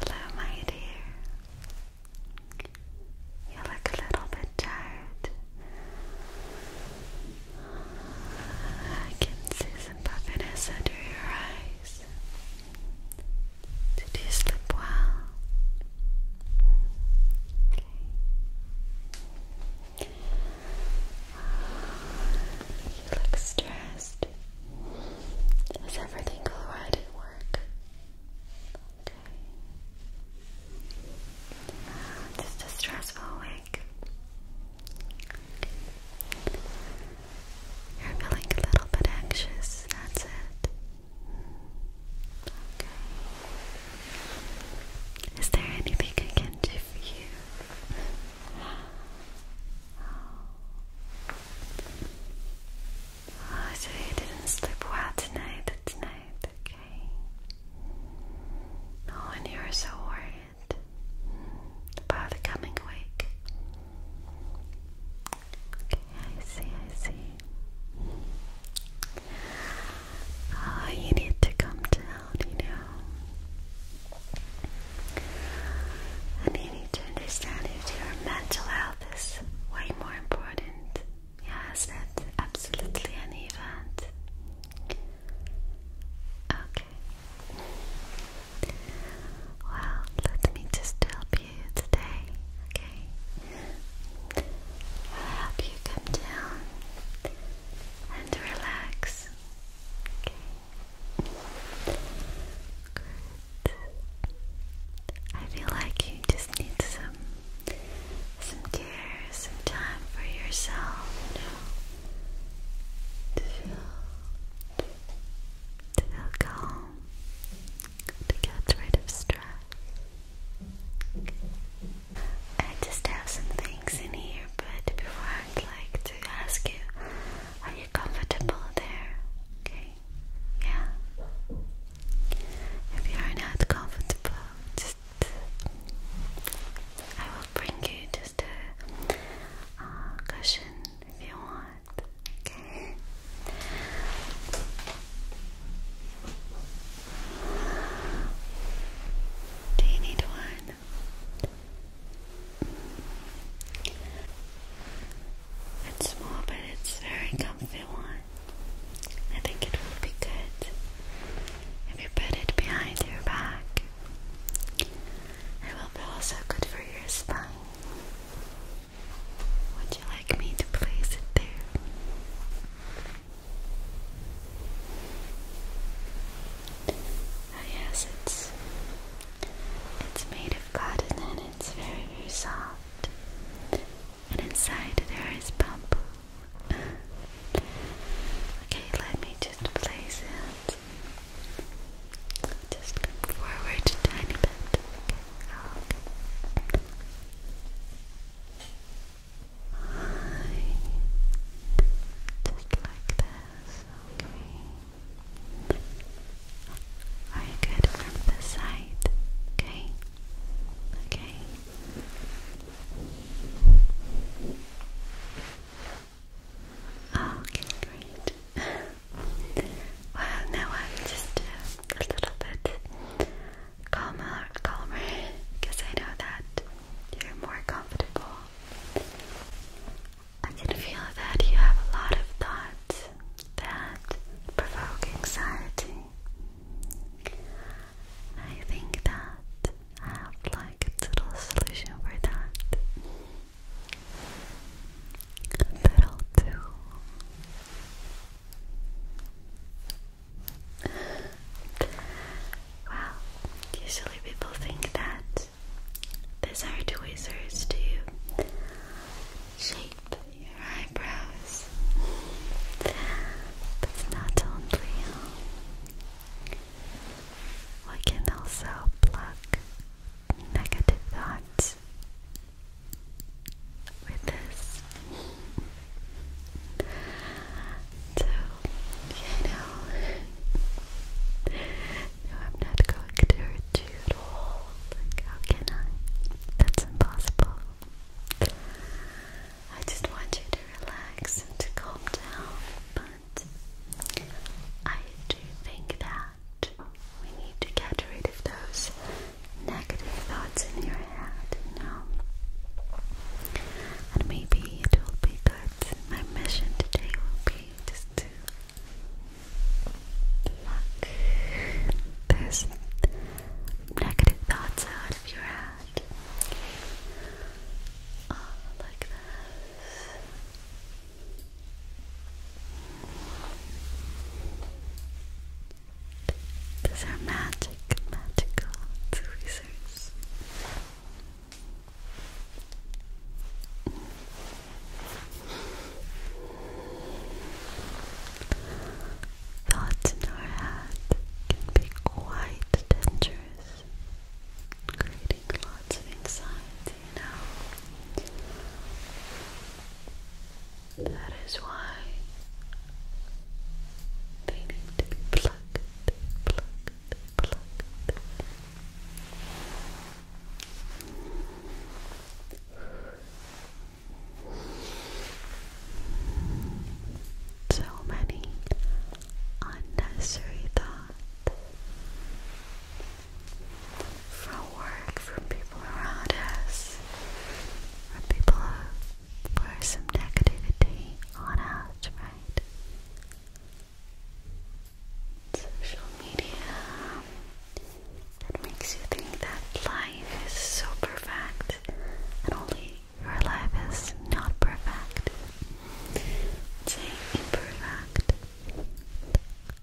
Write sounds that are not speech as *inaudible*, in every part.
Hello, my dear. You look a little bit tired. I can see some puffiness under your eyes. Did you sleep well? You look stressed test. Is everything alright at Okay. Uh, just a stressful week. You're feeling a little bit anxious, that's it. Okay. Is there anything I can do for you? *gasps* Oh. I oh, so you didn't sleep well tonight, tonight, okay? Oh, and you were so worried about coming week. Okay, I see, I see. Oh, you need to come down, you know. And you need to understand that your mental health is way more important. Yes, that's absolutely an event. Okay. Well, let me just help you today, okay? I'll help you come down and relax. Okay. I feel like you just need some some care, some time for yourself, to feel to feel calm, to get rid of stress. I just have some things in here, but before I'd like to ask you, are you comfortable there? Okay. Yeah. If you are not comfortable, just I will bring you just a uh, cushion if you want. Okay. Do you need one? It's small, but it's very comfy one. I think it would be good if you put it behind your back. It will be also good for your spine. Would you like me to place it there? Oh yes, it's it's made of cotton it's very, very soft. And inside there is bamboo. okay, let me just place it. Just forward a tiny bit. Just like this. Are you good from the side? Okay. Okay. Okay, great. *laughs* well, now I'm just uh, a little bit calmer, calmer, because *laughs* I know that you're more comfortable. I can feel that you have a lot of thoughts that provoke anxiety. I think that I have like a little solution for that. That'll do. Well, usually people think that these are tweezers to shape your eyebrows. But not only, we can also pluck negative thoughts with this. So, you know, I'm not going to hurt you at all. how can I? That's impossible. I just want you to relax and to calm down, but I do think that we need to get rid of those negative thoughts in your head, you know. And maybe it will be good. My mission today will be just to Pluck those negative thoughts out of your head. Oh, like this. These are magic, magical tweezers. Thoughts in our head can be quite dangerous, creating lots of anxiety, you know. That is why they need to be plugged, plugged, plugged. So many unnecessary thoughts from work, from people around us, from people who pour some negativity on us, right? social media that makes you think that life is so perfect and only your life is not perfect. It's imperfect. Okay.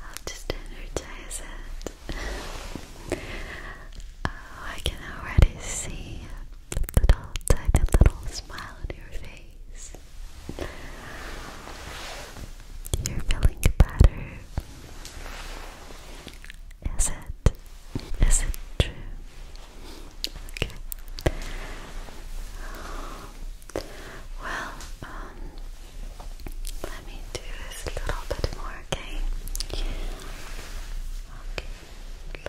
I'll just energize it. Oh, I can already see the little tiny little smile on your face. You're feeling better. Is it? Is it true? Okay. Well, um, let me do this a little bit more, okay? Okay, let me catch,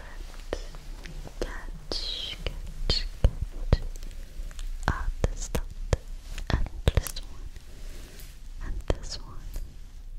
catch, catch out this dot and this one and this one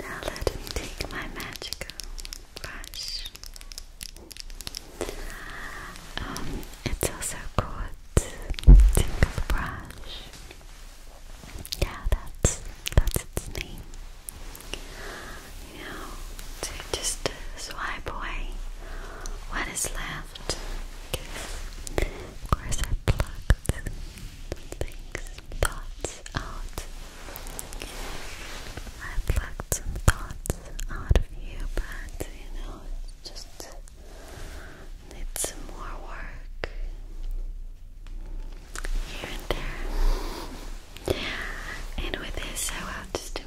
Now let me take my magical brush. Um, it's also called tingle brush. Yeah, that's that's its name. You know, just swipe away what is left. Of course, I plucked things, thoughts out. I plucked some thoughts out of you, but you know, it's just needs more work and with this, I will just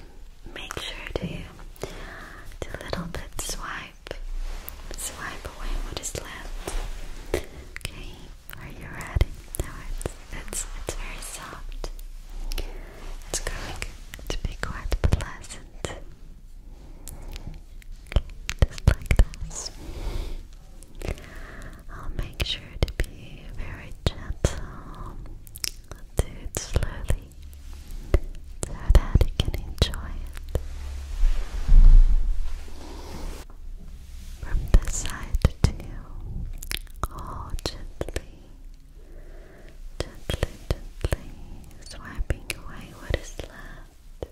make sure to do little bit swipe, swipe away what is left. Okay, are you ready? Now it's it's it's very soft. It's going to be quite pleasant. Just like this. I'll make sure to be very gentle. I'll do it slowly so that you can enjoy it. From this side too. All gently, gently, gently swiping away what is left.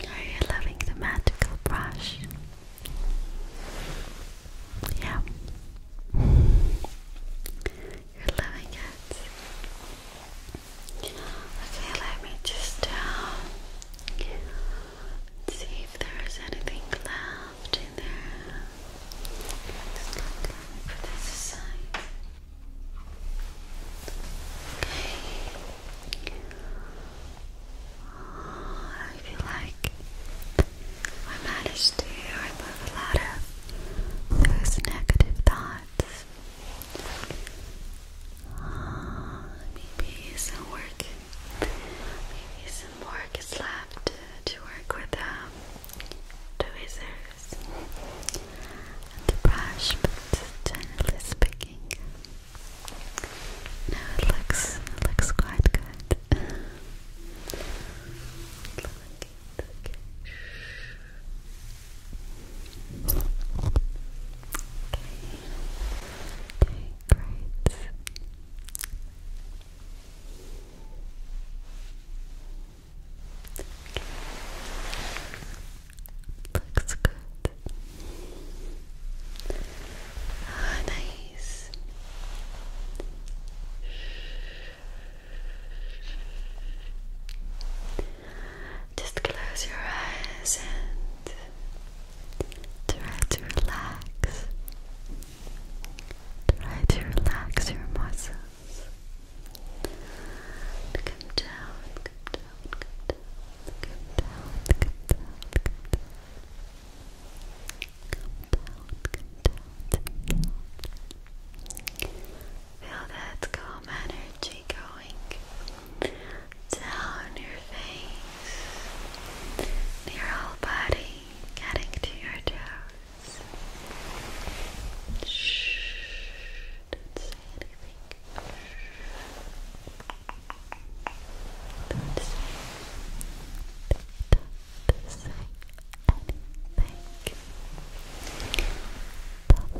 Are you loving the magical brush? Yeah. You're loving it. Okay, let me just um, see if there's anything left in there. Let's look for this side. Okay. I feel like I managed to remove a lot of those negative thoughts. maybe some work, maybe some work is left to, work with um, the tweezers the brush, but generally speaking. No, it looks looks quite good. Look, okay. Okay. Okay, great. Looks good. Ah, nice. Just close your eyes and try to relax. Try to relax your muscles. Come down, come down, come down, come down, come down, come down. Come down, come down, Feel that calm energy going down your face, your whole body, getting to your toes. Shh, say anything. Don't say, don't say anything. Don't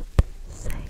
say anything.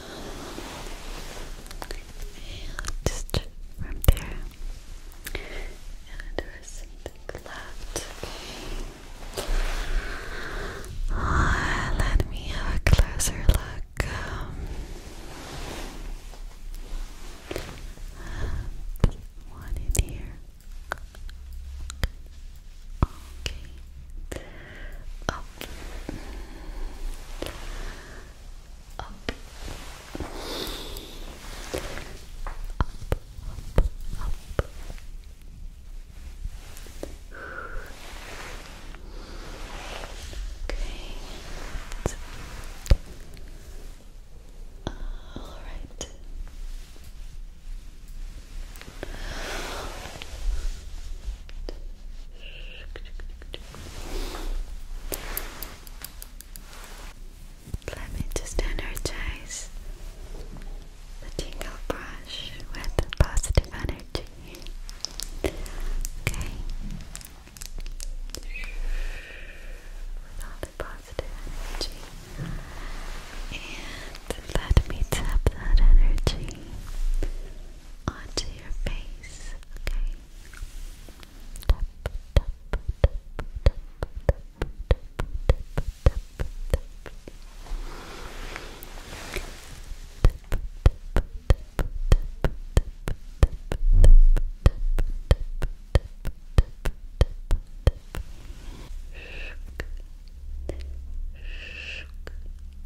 just from there. And there is something left. Okay. let me have a closer look. one in here. Okay. Oh, up, up, up. Okay. All right. Let me just energize the tingle brush with positive energy. Okay. With all the positive energy. And let me tap that energy onto your face,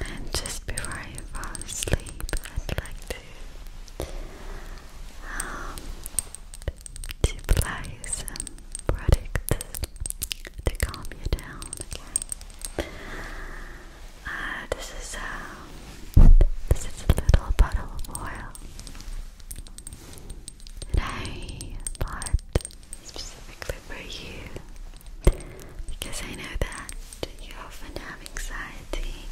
And just before I fall asleep, I'd like to um, apply some products to calm you down. Uh, this is um, this is a little bottle of oil. I bought specifically for you because I know that you often have anxiety,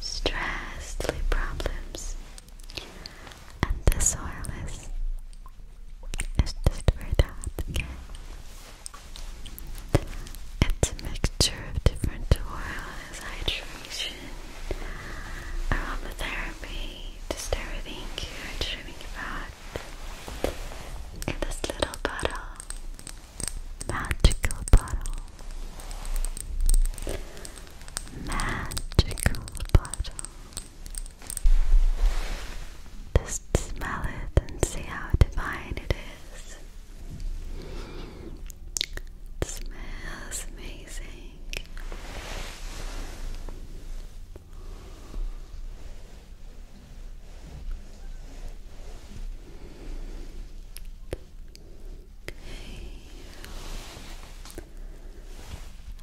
stress, sleep problems, and this oil is, is just for that, okay? It's a mixture of different oils, hydration, aromatherapy, just everything you're dreaming about in this little bottle, magical bottle, magical bottle. Just smell it and see how divine it is. smells amazing.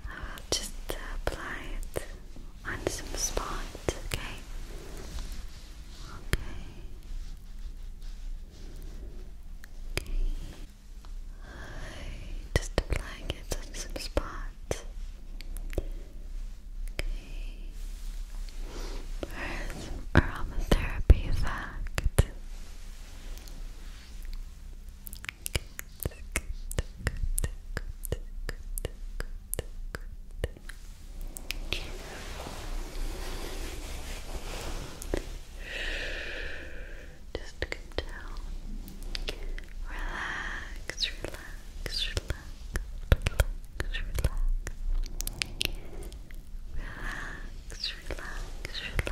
I'll just uh, apply it on some spot. okay? Okay. Okay. I'm Just applying it on some spots. Okay. Where's aromatherapy effect? Just come Relax, relax, relax, relax, relax. Relax, relax, relax, relax, relax. Relax,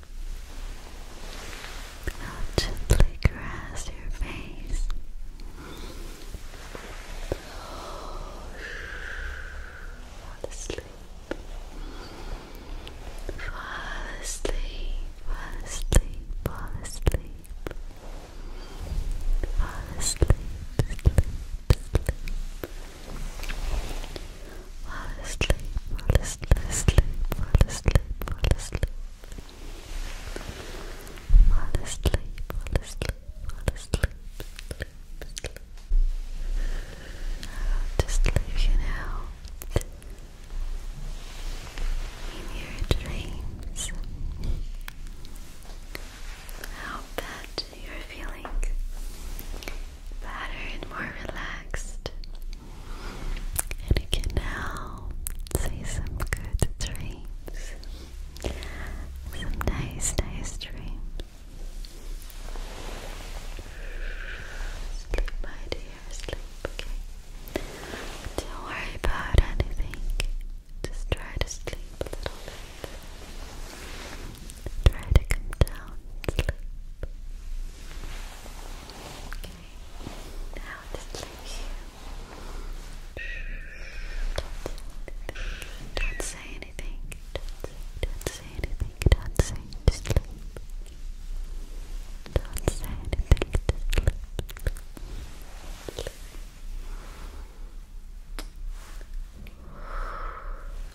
I'll gently caress your face. Fall asleep. Fall asleep. Fall asleep. Fall asleep. Fall asleep. Sleep. Sleep. Fall asleep, fall asleep, asleep, fall asleep, fall asleep. Fall asleep, fall asleep, fall asleep, sleep, sleep. I'll just leave you now in your dreams. I hope that you're feeling better and more relaxed. And you can now say some good dreams. Some nice, nice dreams. Sleep, my dear, sleep, okay? Don't worry about anything. Just try to sleep a little bit. Try to come down Okay, now just sleep Don't say anything. Don't say anything. Don't say just sleep. Don't say anything. Just sleep.